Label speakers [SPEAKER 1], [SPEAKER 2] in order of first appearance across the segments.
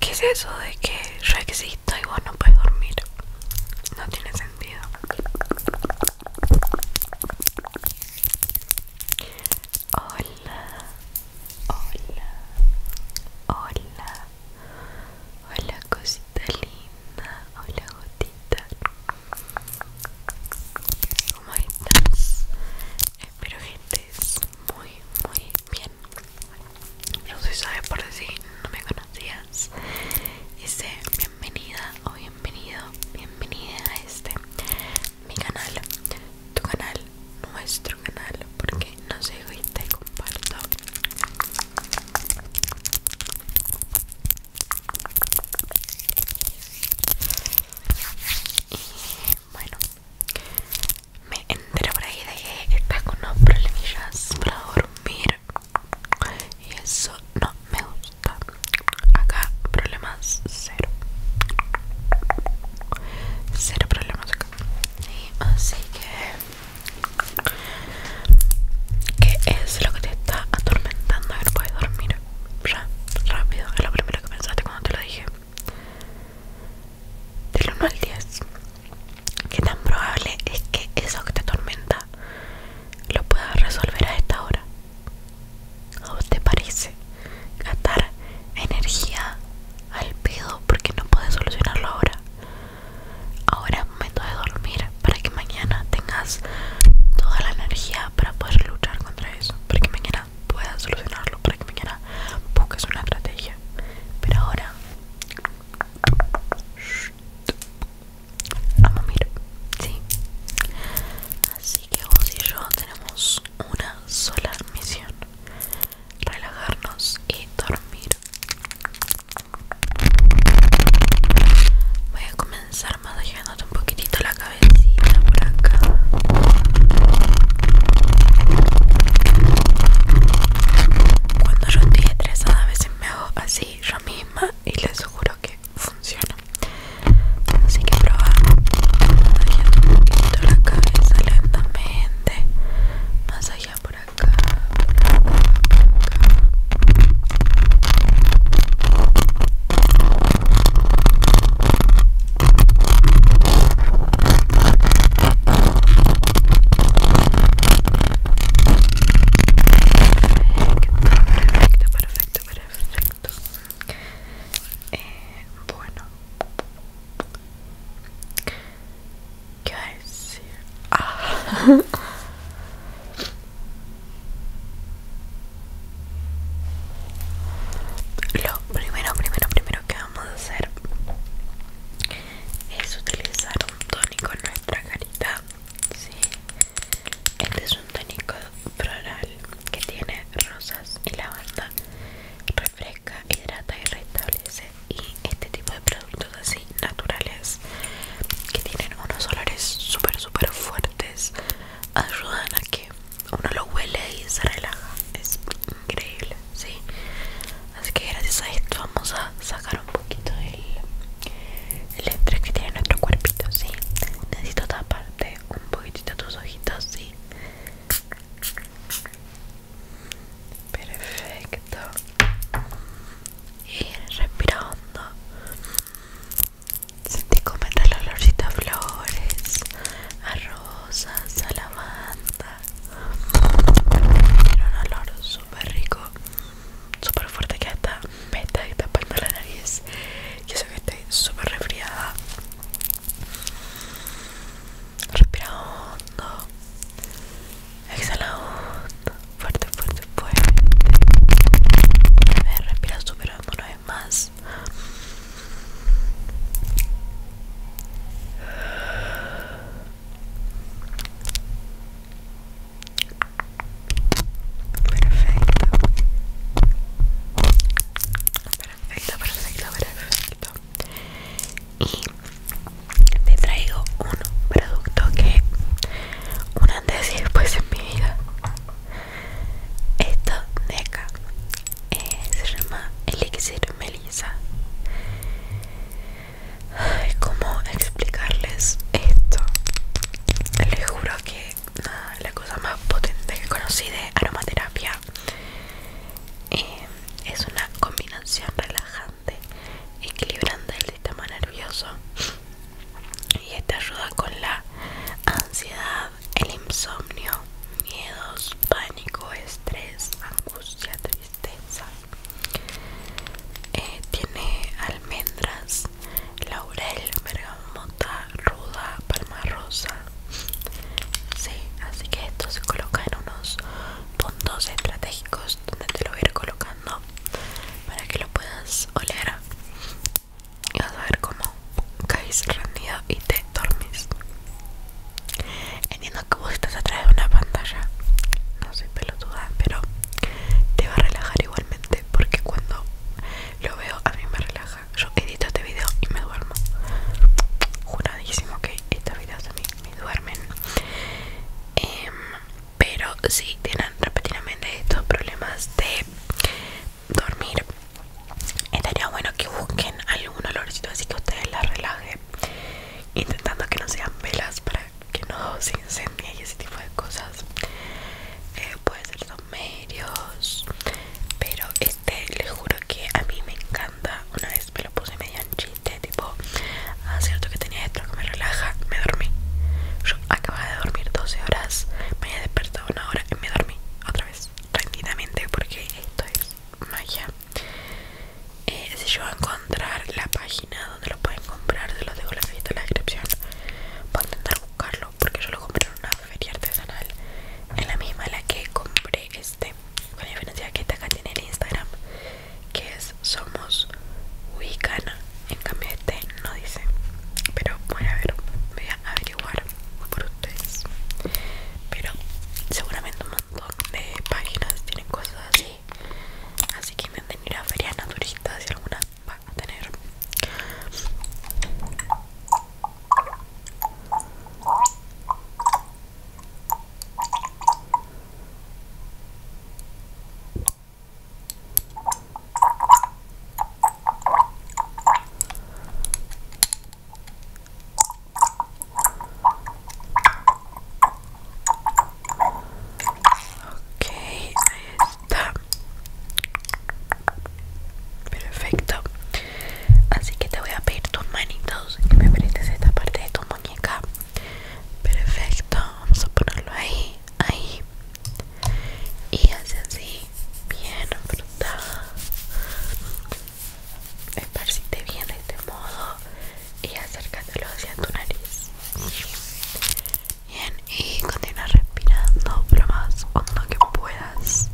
[SPEAKER 1] ¿Qué es eso de que existo y vos no puedes dormir? No tiene sentido. Hola, hola, hola, hola cosita linda, hola gotita. ¿Cómo estás? Espero que estés muy, muy Bien, yo soy Sabe por decir, no me conocías. Dice bienvenida o bienvenido, bienvenida a este mi canal, tu canal, nuestro canal, porque no sé y te comparto. Y bueno, me enteré por ahí de que está con unos problemillas para dormir y eso no me gusta acá problemas cero cero problemas acá así que ¿qué es lo que te está atormentando? a ver, puedes dormir ya, rápido es lo primero que pensaste cuando te lo dije del 1 al 10, ¿qué tan probable es que eso que te atormenta lo puedas resolver a esta hora? ¿O te parece gastar energía al pedo porque no puedes solucionarlo ahora? Ahora es momento de dormir para que mañana tengas toda la energía para poder luchar contra eso. Porque mañana pueda solucionarlo, para que mañana busques una estrategia. Pero ahora, vamos a mirar sí. Así que vos y yo tenemos una sola misión: relajarnos y dormir. Voy a comenzar manejándote un poquitito la cara vecina por acá. Cuando yo estoy estresada a veces me hago así yo misma y les juro que funciona. Así que prueba. masajeando un poquito la cabeza lentamente. Más allá por acá. Perfecto, perfecto, perfecto. Eh, bueno, ¿qué iba a decir? Ah. Lo primero, primero, primero que vamos a hacer es utilizar un tónico en nuestra carita. Este es un tónico floral que tiene rosas y lavanda. Refresca, hidrata y restablece. Y este tipo de productos así naturales que tienen unos olores súper, súper fuertes ayudan a que uno lo huele y se relaja es increíble sí así que gracias a esto vamos a sacar un poquito el, estrés que tiene nuestro cuerpito sí necesito taparte un poquitito tus ojitos sí perfecto y respirando Sentí como entra el olorcito a flores, a rosas, a la lavanda. Tiene un olor súper rico, súper fuerte que hasta y está tapando la nariz. Yo sé que estoy súper resfriada. Respira hondo. Exhala hondo. Fuerte, fuerte, fuerte. A ver, respira súper hondo una vez más. Perfecto. Perfecto, perfecto, perfecto. Y te traigo un producto que un antes y después en mi vida. Esto de acá eh, se llama elixir melisa. Ay, ¿Cómo explicarles esto? Les juro que la cosa más potente que conocí de aromaterapia eh, es una combinación relajante, equilibrante el sistema nervioso y te ayuda con la ansiedad, el insomnio, miedos, pánico, estrés, angustia, tristeza. Eh, tiene almendras, laurel, bergamota, ruda, palma rosa. Sí, así que esto se coloca en unos puntos estratégicos donde te lo voy a ir colocando para que lo puedas oler y vas a ver cómo caes rendido y te dormís. Entiendo que vos estás atrás de una pantalla, no soy pelotuda, pero te va a relajar igualmente porque cuando lo veo a mí me relaja. Yo edito este video y me duermo. Juradísimo que estos videos a mí me duermen. Em, pero si tienen repetidamente estos problemas de dormir estaría bueno que busquen algún olorcito así que ustedes la relaje intentando que no sean velas para que no se incendie y ese tipo de cosas eh, puede ser los medios pero este les juro que a mí me encanta una vez me lo puse medio en chiste tipo ah cierto que tenía que me relaja, me dormí. Yo acababa de dormir 12 horas, me había despertado una hora y me dormí otra vez, tranquilamente, porque esto es magia. si yo voy a encontrar la página donde lo pueden comprar, se los dejo la en la descripción. Voy a intentar buscarlo porque yo lo compré en una feria artesanal, en la misma la que compré este. Con la diferencia que esta acá tiene el Instagram, que es pues somos Wicana. En cambio este no dice. Pero voy a ver, voy a averiguar por ustedes. Pero seguramente un montón de páginas tienen cosas así. Así que me ir a ferias naturistas si alguna van a tener. Ok, ahí está. Perfecto. Así que te voy a pedir tus manitos que me aprietes esta parte de tu muñeca. Perfecto, vamos a ponerlo ahí ahí y hace así bien fruta esparcite bien de este modo y acércatelo hacia tu nariz bien y continúa respirando lo más hondo que puedas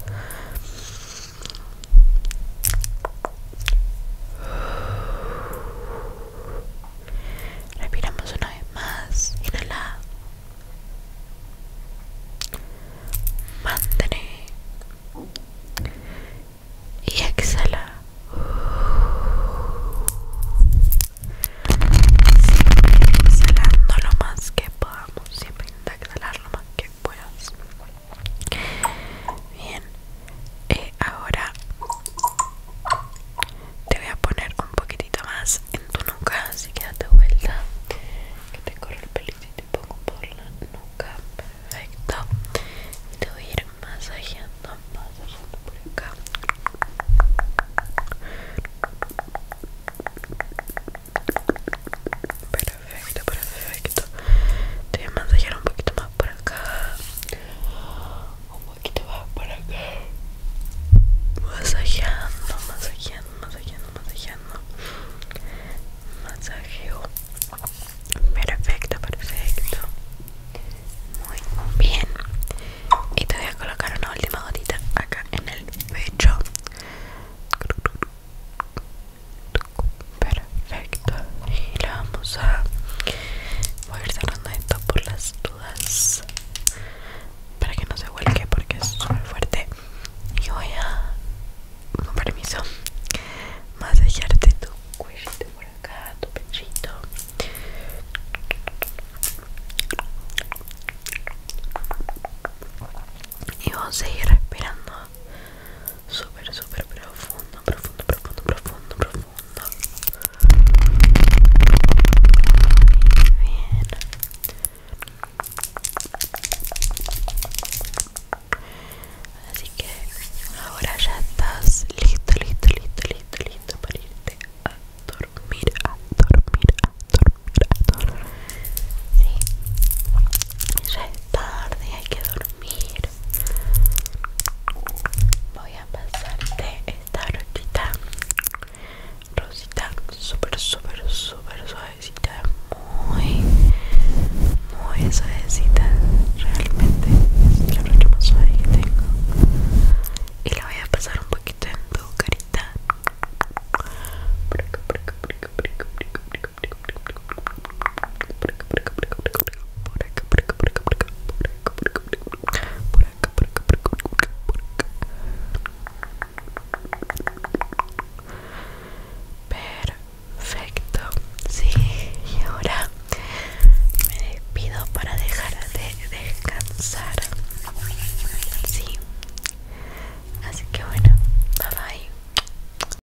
[SPEAKER 1] Respiramos una vez más. Inhala. Mantén. Y exhala. Siempre exhalando lo más que podamos. Siempre intenta exhalar lo más que puedas. Bien. Y eh, ahora te voy a poner un poquitito más en tu nuca así que date vuelta que te corre el pelito y te pongo por la nuca perfecto y te voy a ir masajeando masajeando por acá perfecto perfecto te voy a masajear un poquito más por acá un poquito más para acá masajeando masajeando masajeando masajeando masajeo perfecto perfecto muy bien y te voy a colocar una última gotita acá en el pecho perfecto y le vamos a voy a ir cerrando esto por las dudas para que no se vuelque porque es súper fuerte y voy a con permiso masajearte tu cuellito por acá tu pechito y vamos a seguir respirando súper, súper profundo, profundo, profundo, profundo, profundo. Muy bien. Así que ahora ya estás listo, listo, listo, listo, listo para irte a dormir, a dormir, a dormir, a dormir. Sí. Ya es tarde, hay que dormir voy a pasarte esta rosita rosita Super, súper super suavecita muy muy suavecita realmente la brocha más suave que tengo y la voy a pasar un poquito en tu carita prico, prico, prico, por acá, por acá, por acá, por acá, por acá, por acá, por acá, por acá, por acá, por acá, por acá, por acá. Perfecto. Sí. Y ahora me despido para dejar de descansar. Sí Así que bueno, bye